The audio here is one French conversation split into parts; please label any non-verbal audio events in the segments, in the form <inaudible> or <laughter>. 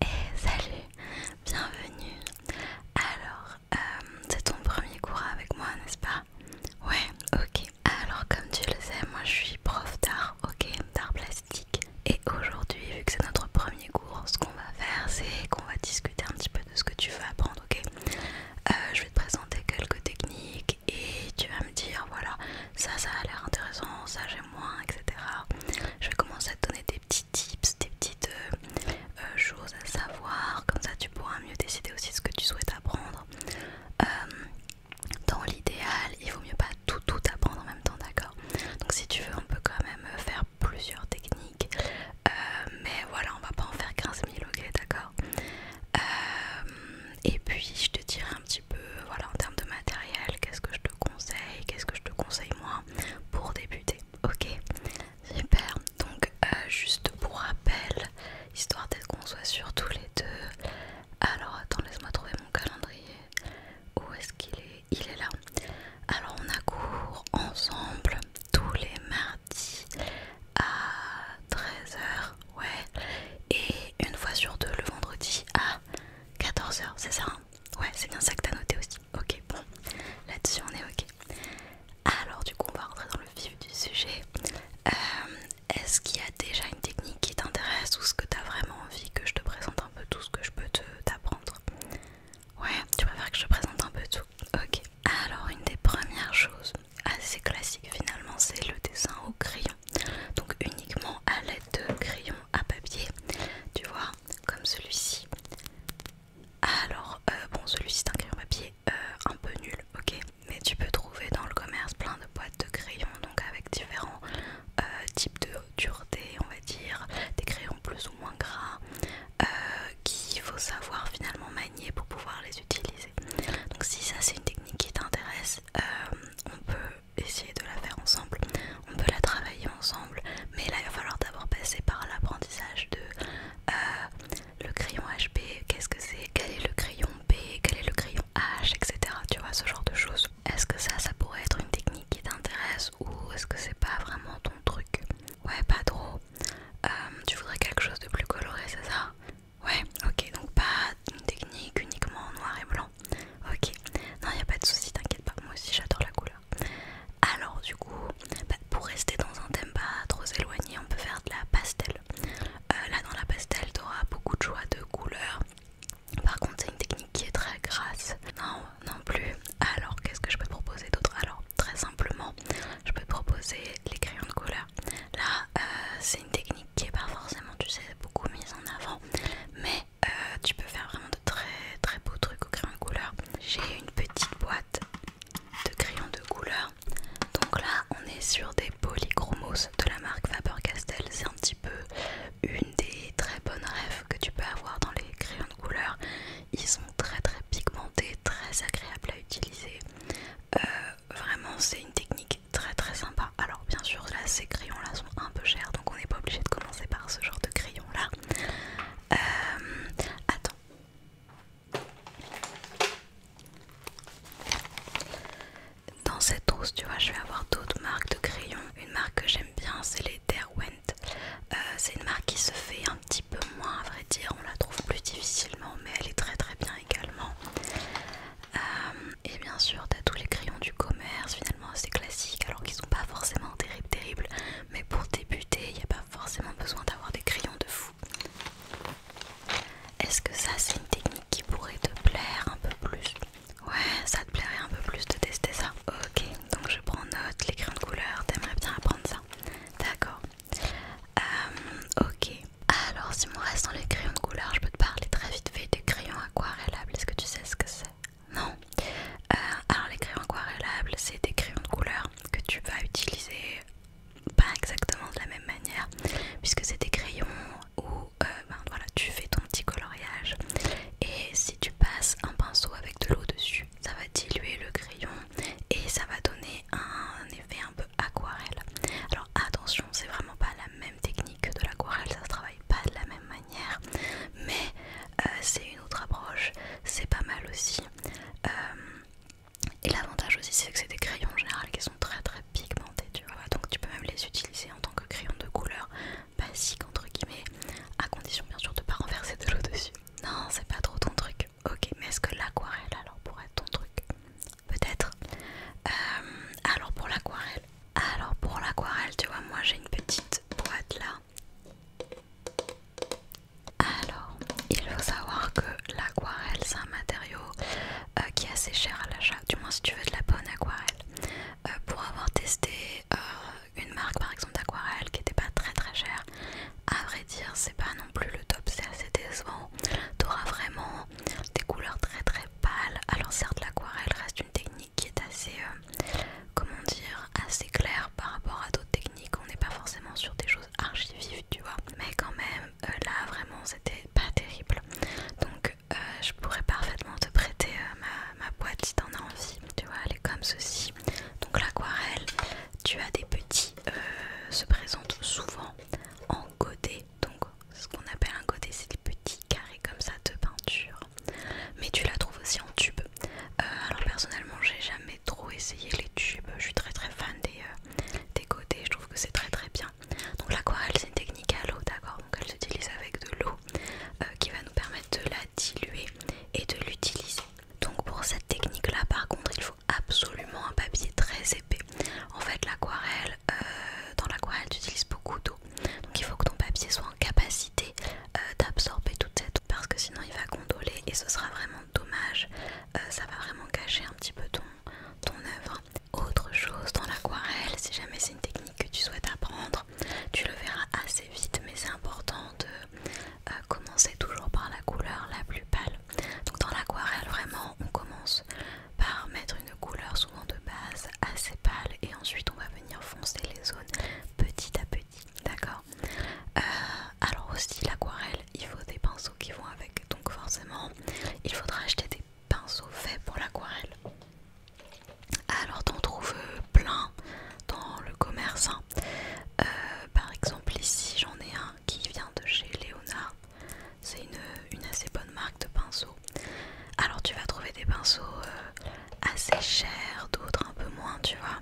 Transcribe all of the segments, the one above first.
Et eh, salut, bienvenue. Alors, euh, c'est ton premier cours avec moi, n'est-ce pas Ouais, ok. Alors, comme tu le sais, moi je suis prof d'art, ok, d'art plastique. Et aujourd'hui, vu que c'est notre premier cours, ce qu'on va faire, c'est qu'on va discuter un petit peu de ce que tu veux apprendre ok euh, Je vais te présenter quelques techniques et tu vas me dire voilà, ça, ça a l'air intéressant, ça j'aime moins, etc. Je vais commencer à te donner des petits tips, des petites euh, euh, choses à savoir, comme ça tu pourras mieux décider aussi ce que tu souhaites apprendre. dans l'idéal, il vaut mieux pas tout tout apprendre en même temps, d'accord Donc si tu veux, on peut quand même faire plusieurs techniques, mais voilà, on va pas en faire 15 000, ok, d'accord euh, et puis je te dirai un petit peu, voilà, en termes de matériel, qu'est-ce que je te conseille, qu'est-ce que je te conseille moi pour débuter. Ok, super. Donc euh, juste pour rappel, histoire d'être qu'on soit sur tous les deux. Alors attends, laisse-moi trouver mon calendrier. Où est-ce qu'il est, il, est Il est là. Alors on a cours ensemble tous les mardis à 13h, ouais, et une fois sur deux le vendredi à 14h, c'est ça hein Ouais, c'est bien ça que t'as noté aussi. Ok, bon, là-dessus on est ok. Alors du coup, on va rentrer dans le vif du sujet. Euh, est-ce qu'il y a déjà une technique qui t'intéresse ou ce que t'as vraiment envie que je te présente un peu tout ce que je peux t'apprendre Ouais, tu préfères que je te présente un peu tout Ok. Alors, une des premières choses assez classique finalement, c'est le dessin au crayon. Donc uniquement à l'aide de crayons à papier, tu vois, comme celui-ci. Alors, euh, bon, celui-ci c'est un crayon papier euh, un peu nul, ok Mais tu peux trouver dans le commerce plein de boîtes de crayons, donc avec différents euh, types de dureté, on va dire, des crayons plus ou moins gras, Qui qu'il faut savoir finalement manier pour pouvoir les utiliser. Donc si ça c'est une technique qui t'intéresse, euh, on peut essayer de la faire ensemble, on peut la travailler ensemble, mais là il va falloir d'abord passer par l'apprentissage de euh, le crayon HB, qu'est-ce que c'est, quel est le crayon B, quel est le crayon H, etc. Tu vois ce genre de choses. Est-ce que ça, ça pourrait être une technique qui t'intéresse ou est-ce que c'est pas vraiment ton truc Ouais, pas trop. Euh, tu voudrais quelque chose de plus coloré, c'est ça Ouais, ok, donc pas une technique uniquement en noir et blanc. Ok, non, y a pas de souci, t'inquiète pas, moi aussi j'adore la couleur. Alors, du coup, bah, pour rester dans un thème pas trop éloigné, on peut faire de la pastel. Euh, là, dans la pastel, t'auras beaucoup de choix de couleurs. Par contre, c'est une technique qui est très grasse. Non, non plus. Alors, qu'est-ce que je peux proposer d'autre Alors, très simplement, je peux proposer les crayons de couleur. Là, euh, c'est technique qui est pas forcément, tu sais, beaucoup mise en avant, mais euh, tu peux faire vraiment de très très beaux trucs au crayon de couleur. J'ai une petite boîte de crayons de couleur. Donc là, on est sur des polychromos de la marque Faber-Castell. C'est un petit peu une des très bonnes rêves que tu peux avoir dans les crayons de couleur. Ils sont très très pigmentés, très agréables à utiliser. Euh, vraiment c'est une technique très très sympa. Alors bien sûr là ces crayons là sont un peu chers donc on n'est pas obligé de commencer par ce genre de crayon là. Euh, attends. Dans cette trousse, tu vois, je vais avoir d'autres marques de crayons. Une marque que j'aime bien, c'est les Derwent. Euh, c'est une marque qui se fait un petit peu moins, à vrai dire. On la trouve plus difficilement, mais elle est très très bien également. Euh, et bien sûr, tu as tous les crayons du commerce, finalement assez classiques, alors qu'ils sont pas forcément terribles, terribles. Mais pour débuter, il n'y a pas forcément besoin d'avoir des crayons de fou. Est-ce que ça, c'est une technique qui pourrait te plaire un peu plus Ouais, ça te plairait un peu plus de tester ça. Ok, donc je prends note, les crayons de couleur, t'aimerais bien apprendre ça. D'accord. Euh, ok. Alors, si mon reste dans les crayons de couleur, je peux te parler très vite fait des crayons aquarellables. Est-ce que tu sais ce que c'est Non euh, Alors, les crayons aquarellables, c'est des crayons de couleur que tu vas utiliser pas exactement de la même manière, puisque c'est des crayons où euh, ben, voilà, tu fais ton petit coloriage et si tu passes un pinceau avec de l'eau dessus, ça va diluer le crayon et ça va donner un effet un peu aquarelle. Alors attention, c'est vraiment pas la même technique que de l'aquarelle, ça se travaille pas de la même manière, mais euh, c'est une autre approche, c'est pas mal aussi. Euh, et l'avantage aussi, c'est que c'est des crayons en général qui sont très très pigmentés, tu vois, donc tu peux même les utiliser en tant que crayon de couleur basique, entre guillemets, à condition bien sûr de pas renverser de l'eau dessus. Non, c'est pas trop ton truc. Ok, mais est-ce que l'aquarelle alors pourrait être ton truc peut-être. Euh, alors pour l'aquarelle, alors pour l'aquarelle, tu vois, moi j'ai une petite boîte là. Alors, il faut savoir que l'aquarelle c'est un matériau euh, qui est assez cher à l'achat, du moins si tu veux de la bonne aquarelle. Euh, pour avoir testé une marque par exemple d'aquarelle qui était pas très très chère, à vrai dire c'est pas non plus le top, c'est assez décevant. T'auras vraiment des couleurs très très pâles. Alors certes l'aquarelle reste une technique qui est assez, euh, comment dire, assez claire par rapport à d'autres techniques. On n'est pas forcément sur des choses archivives tu vois. Mais quand même, euh, là vraiment c'était pas terrible. Donc euh, je pourrais parfaitement te prêter ma, boîte si t'en as envie. Tu vois, elle est comme ceci. Donc l'aquarelle, tu as des petits, se présentent souvent en godet donc ce qu'on appelle un côté, c'est des petits carrés comme ça de peinture. Mais tu la trouves aussi en tube. Euh, alors personnellement j'ai jamais trop essayé les tubes. Je suis très très fan des, euh, Je trouve que c'est très très bien. Donc l'aquarelle c'est une technique à l'eau d'accord. Donc elle s'utilise avec de l'eau euh, qui va nous permettre de la diluer et de l'utiliser. Donc pour cette technique là par contre il faut absolument un papier très en fait, l'aquarelle, euh, dans l'aquarelle, tu utilises beaucoup d'eau. Donc il faut que ton papier soit en capacité euh, d'absorber toute cette eau parce que sinon il va condoler et ce sera vraiment dommage. Euh, ça va vraiment cacher un petit peu ton, ton œuvre. Autre chose dans l'aquarelle, si jamais c'est une technique que tu souhaites apprendre, tu le verras assez vite, mais c'est important de commencer toujours par la couleur la plus pâle. Donc dans l'aquarelle, vraiment, on commence par mettre une couleur souvent de base assez pâle et ensuite on va venir foncer les zones petit à petit, d'accord euh, Alors aussi l'aquarelle, il faut des pinceaux qui vont avec, donc forcément il faudra acheter des pinceaux faits pour l'aquarelle. Alors t'en trouves euh, plein dans le commerce. Hein. Euh, par exemple ici j'en ai un qui vient de chez Léonard. C'est une, assez bonne marque de pinceaux. Alors tu vas trouver des pinceaux euh, assez chers, d'autres un peu moins, tu vois.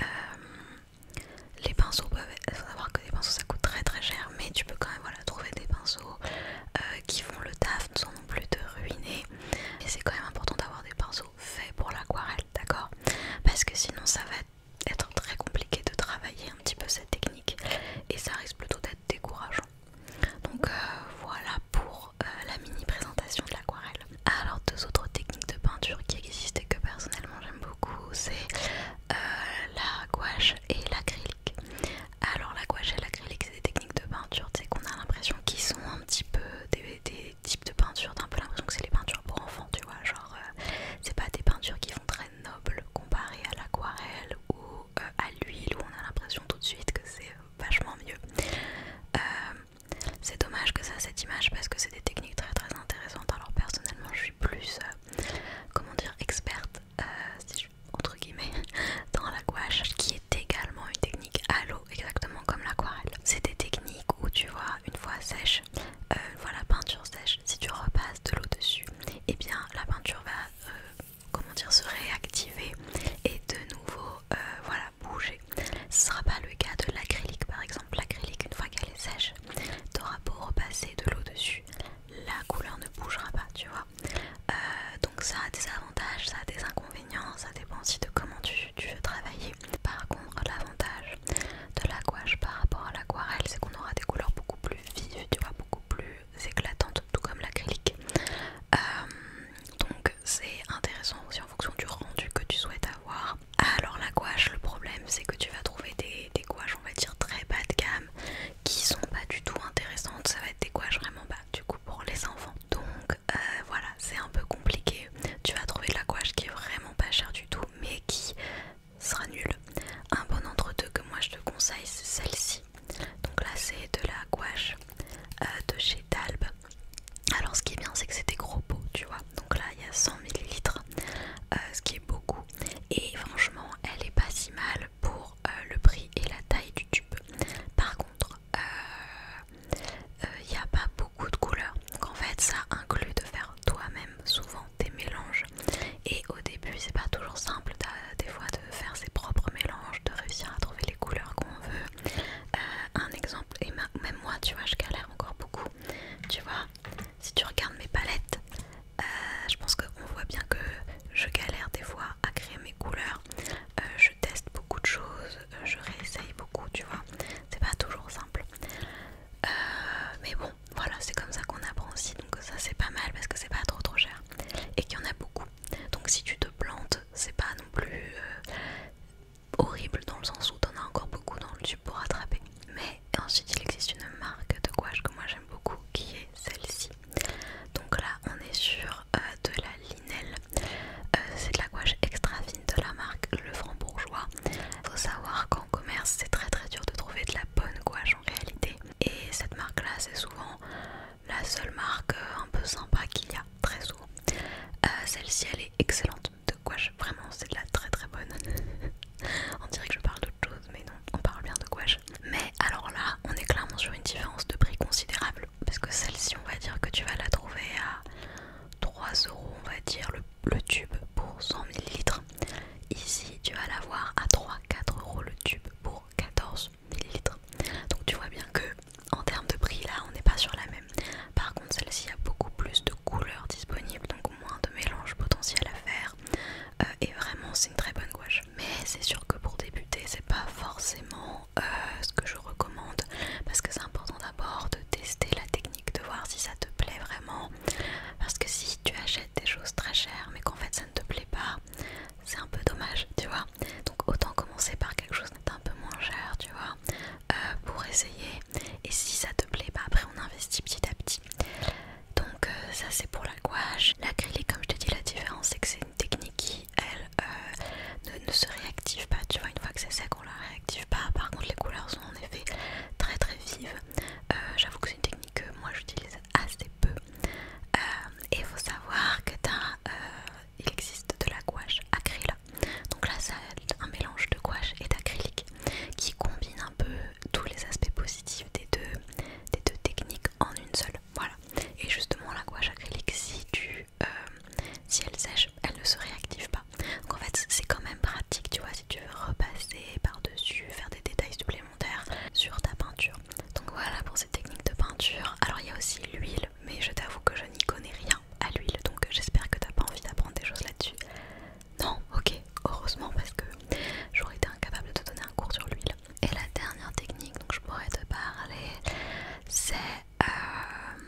Euh, les pinceaux peuvent faut savoir que les pinceaux ça coûte très très cher, mais tu peux quand même voilà, trouver des pinceaux euh, qui font le taf sans non plus te ruiner. Et c'est quand même important d'avoir des pinceaux faits pour l'aquarelle, d'accord Parce que sinon ça va être très compliqué de travailler un petit peu cette technique et ça risque plutôt d'être décourageant. Donc euh, voilà pour euh, la mini présentation de l'aquarelle. Alors deux autres techniques de peinture qui existent et que personnellement j'aime beaucoup, c'est euh, la gouache et l'acrylique. Alors la gouache et l'acrylique c'est des techniques de peinture, c'est qu'on a l'impression qu'ils sont un petit peu des, types de peinture, d'un un peu l'impression que c'est les peintures pour enfants, tu vois, genre c'est pas des peintures qui vont très noble comparé à l'aquarelle ou euh, à l'huile où on a l'impression tout de suite que c'est vachement mieux. Euh, c'est dommage que ça cette image parce que c'est des techniques très très intéressantes. Alors personnellement je suis plus euh, comment dire experte entre guillemets <laughs> dans la qui est également une technique à l'eau exactement comme l'aquarelle. C'est des techniques où tu vois une fois sèche, une fois la peinture sèche, si tu repasses de l'eau dessus, et eh bien la peinture va euh, comment dire, se réactiver et de nouveau euh, voilà, bouger. Ce sera pas le cas de l'acrylique par exemple. L'acrylique, une fois qu'elle est sèche, tu auras beau repasser de l'eau dessus, la couleur ne bougera pas, tu vois. Euh, donc ça a des avantages, ça a des inconvénients, ça dépend aussi de comment tu, veux travailler. Par contre, l'avantage de l'aquarelle par rapport à l'aquarelle, c'est qu'on aura des couleurs beaucoup plus vives, tu vois, beaucoup plus éclatantes, tout comme l'acrylique. Euh, donc c'est intéressant aussi en fonction du rendu que tu souhaites avoir. Alors la gouache, le problème c'est que tu vas trouver des, gouaches on va dire très bas de gamme qui sont pas du tout intéressantes. Ça va être des gouaches vraiment bas du coup pour les enfants. Donc euh, voilà, c'est un peu compliqué. Tu vas trouver de la gouache qui est vraiment pas chère du tout mais qui sera nulle. Un bon entre deux que moi je te conseille c'est celle-ci donc là c'est de la gouache euh, de chez Talb. Alors ce qui est bien c'est que c'est des gros pots tu vois. Donc là il y a 100 ml, euh, ce qui est beaucoup. Et franchement elle est pas si mal pour euh, le prix et la taille du tube. Par contre il n'y a pas beaucoup de couleurs. Donc en fait ça inclut de faire toi-même souvent des mélanges et au début, c'est pas toujours simple des fois de faire ses propres mélanges, de réussir à trouver les couleurs qu'on veut. Euh, un exemple, et même moi, tu vois, je galère encore beaucoup. Tu vois, si tu regardes mes palettes, euh, je pense qu'on voit bien que je galère des fois à créer mes couleurs. Euh, je teste beaucoup de choses, je réessaye beaucoup, tu vois. C'est pas toujours simple. mais bon, voilà, c'est comme ça qu'on apprend aussi. Donc ça c'est pas mal parce que c'est pas trop trop cher et qu'il y en a beaucoup. Donc si tu te plantes, c'est pas non plus euh, horrible dans le sens où t'en as encore beaucoup dans le tube pour attraper Mais ensuite il existe une marque de gouache que moi j'aime beaucoup qui est celle-ci. Donc là on est sur euh, de la linelle. Euh, c'est de la gouache extra fine de la marque Le Franc Bourgeois. Faut savoir qu'en commerce c'est très très dur de trouver de la bonne gouache en réalité. Et cette marque là, c'est souvent la seule marque euh, un peu sympa qu'il y a, très souvent. Euh, celle-ci, elle est excellente. De gouache, vraiment, c'est de la très très bonne. <laughs> on dirait que je parle d'autre chose, mais non, on parle bien de gouache. Mais alors là, on est clairement sur une différence de prix considérable. Parce que celle-ci, on va dire que tu vas la trouver à 3 euros, on va dire, le, tube pour 100 ml. Ici, tu vas l'avoir à 3-4 euros le tube pour 14 donc tu vois bien que en termes de prix là on n'est pas sur la même. Par contre celle-ci a beaucoup plus de couleurs disponibles donc moins de mélange potentiel à faire euh, et vraiment c'est une très bonne gouache. Mais c'est sûr que pour débuter c'est pas forcément euh, ce que je recommande parce que c'est important d'abord de tester la technique, de voir si ça te plaît vraiment parce que si tu achètes des choses très chères mais qu'en fait ça ne te plaît pas c'est un peu dommage, tu vois. Donc autant commencer par quelque chose d'un peu moins cher, tu vois, euh, pour essayer. Et si ça te plaît, pas bah, après on investit petit à petit. Donc euh, ça c'est pour la gouache. L'acrylique, comme je t'ai dit la différence c'est que c'est une technique qui, elle, euh, ne, se réactive pas, tu vois. Une fois que c'est sec, on la réactive pas. Par contre, les couleurs sont en effet très très vives. J'avoue que c'est une technique que moi j'utilise assez peu. Euh, et il faut savoir que tu as, euh, il existe de la gouache acrylique. Donc là, c'est un mélange de gouache et d'acrylique qui combine un peu tous les aspects positifs des deux, des deux techniques en une seule. Voilà. Et justement, la gouache acrylique, si tu euh, si elle sèche, elle ne se réactive pas. Donc en fait, c'est quand même pratique, tu vois, si tu veux repasser par-dessus, faire des détails supplémentaires sur ta peinture. Donc voilà pour ces techniques de peinture. Alors il y a aussi l'huile, mais je t'avoue que je n'y connais rien à l'huile, donc j'espère que t'as pas envie d'apprendre des choses là-dessus. Non, ok, heureusement parce que j'aurais été incapable de te donner un cours sur l'huile. Et la dernière technique dont je pourrais te parler, c'est euh,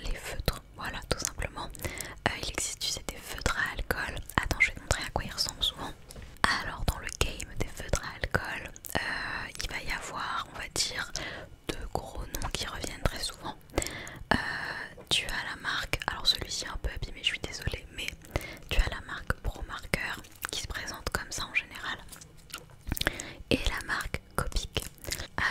les feutres. Voilà, tout simplement. Euh, il existe, des feutres à alcool. Attends, je vais te montrer à quoi ils ressemblent souvent. Alors, dans le game des feutres à alcool, euh, il va y avoir, on va dire, deux gros noms qui reviennent très souvent. Euh, tu as la marque, alors celui-ci est un peu abîmé, je suis désolée, mais tu as la marque Pro ProMarker qui se présente comme ça en général, et la marque Copic.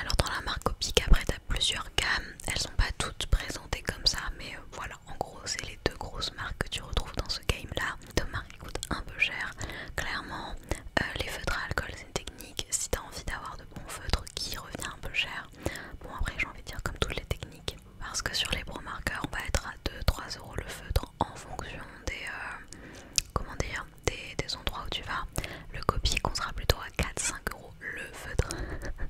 Alors dans la marque Copic, après tu as plusieurs gammes, elles sont pas toutes présentées comme ça, mais euh, voilà, en gros c'est les de grosses marques que tu retrouves dans ce game là. De marques qui coûtent un peu cher. Clairement, euh, les feutres à alcool c'est une technique. Si t'as envie d'avoir de bons feutres qui revient un peu cher. Bon après j'ai envie de dire comme toutes les techniques. Parce que sur les bons marqueurs on va être à 2-3 euros le feutre en fonction des euh, comment dire des, endroits où tu vas. Le copier qu'on plutôt à 4-5 euros le feutre.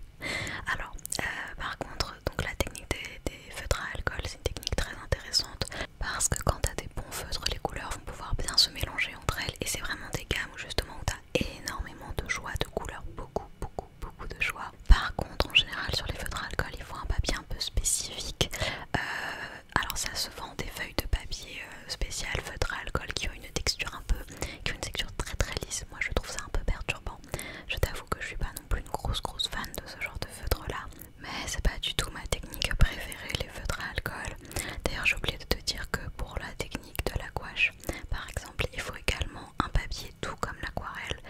<laughs> Alors euh, par contre donc la technique des feutres à alcool c'est une technique très intéressante parce que quand t'as des bons feutres, les couleurs vont pouvoir bien se mélanger entre elles et c'est vraiment des gammes où justement t'as énormément de joie, de couleurs, beaucoup, beaucoup, beaucoup de joie. Par contre, en général, sur les feutres alcool, il faut un papier un peu spécifique. Euh, alors ça se vend des feuilles de papier euh, spéciales feutre à alcool qui ont une texture un peu, qui ont une texture très très lisse. Moi, je trouve ça un peu perturbant. Je t'avoue que je suis pas non plus une grosse grosse fan de ce genre de feutre là mais c'est pas du tout ma technique préférée, les feutres à alcool. D'ailleurs, j'ai oublié de te dire que pour la technique de la gouache, par exemple, il faut également un papier tout comme l'aquarelle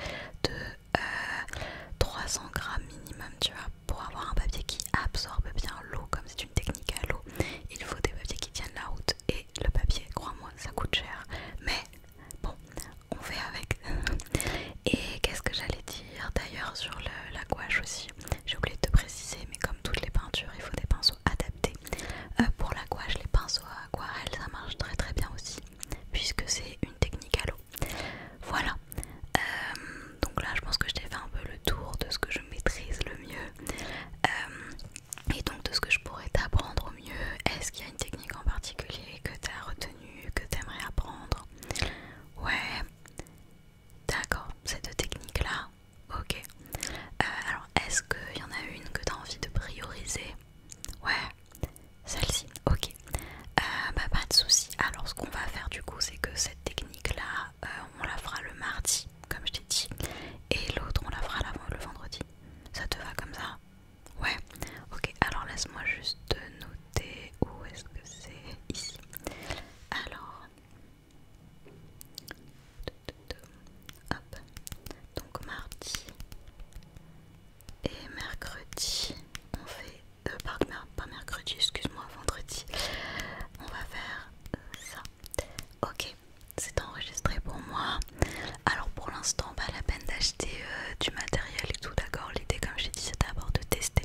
de 300 euh, grammes minimum, tu vois, pour avoir un papier qui absorbe bien l'eau, comme c'est une technique à l'eau. Il faut des papiers qui tiennent la route et le papier, crois-moi, ça coûte cher. Mais bon, on fait avec. <laughs> Et qu'est-ce que j'allais dire d'ailleurs sur le, la gouache aussi J'ai oublié de te préciser, mais comme toutes les peintures, il faut des pinceaux adaptés. Euh, pour la gouache, les pinceaux à aquarelle, ça marche très très bien aussi, puisque c'est une technique à l'eau. Voilà. Euh, donc là, je pense que je t'ai fait un peu le tour de ce que je maîtrise le mieux. Euh, et donc de ce que je pourrais t'apprendre au mieux. Est-ce qu'il y a une technique en particulier que tu as retenue, que tu aimerais apprendre Ouais, d'accord, cette technique là ok. Euh, alors, est-ce qu'il y en a une que tu as envie de prioriser Ouais, celle-ci, ok. Euh, bah, pas de souci. Alors, ce qu'on va faire du coup, c'est que cette technique-là, euh, on la fera le mardi, comme je t'ai dit, et l'autre, on la fera le vendredi. Ça te va comme ça Ouais, ok. Alors, laisse-moi juste te noter. Où est-ce que c'est Ici. Alors. Donc mardi et mercredi, on fait. Euh, pas mercredi, excuse-moi, vendredi. On va faire euh, ça. Ok, c'est enregistré pour moi. Alors pour l'instant, pas la peine d'acheter euh, du matériel et tout, d'accord L'idée, comme j'ai dit, c'est d'abord de tester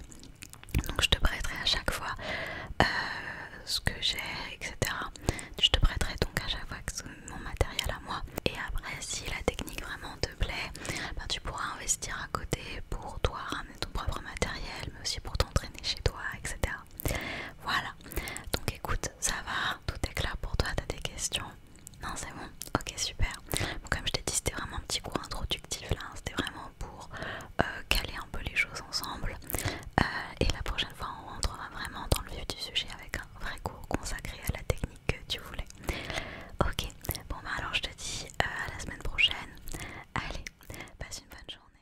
donc je te prêterai à chaque fois euh, ce que j'ai, etc. Je te prêterai donc à chaque fois mon matériel à moi. Et après, si la technique vraiment te plaît, ben, tu pourras investir à côté pour toi ramener ton propre matériel, mais aussi pour t'entraîner chez toi, etc. Voilà. Donc écoute, ça va, tout est clair pour toi, t'as des questions. Non, c'est bon. Ok, super comme je t'ai dit, c'était vraiment un petit cours introductif là, hein. c'était vraiment pour euh, caler un peu les choses ensemble. Euh, et la prochaine fois, on rentrera vraiment dans le vif du sujet avec un vrai cours consacré à la technique que tu voulais. Ok, bon bah alors je te dis euh, à la semaine prochaine. Allez, passe une bonne journée.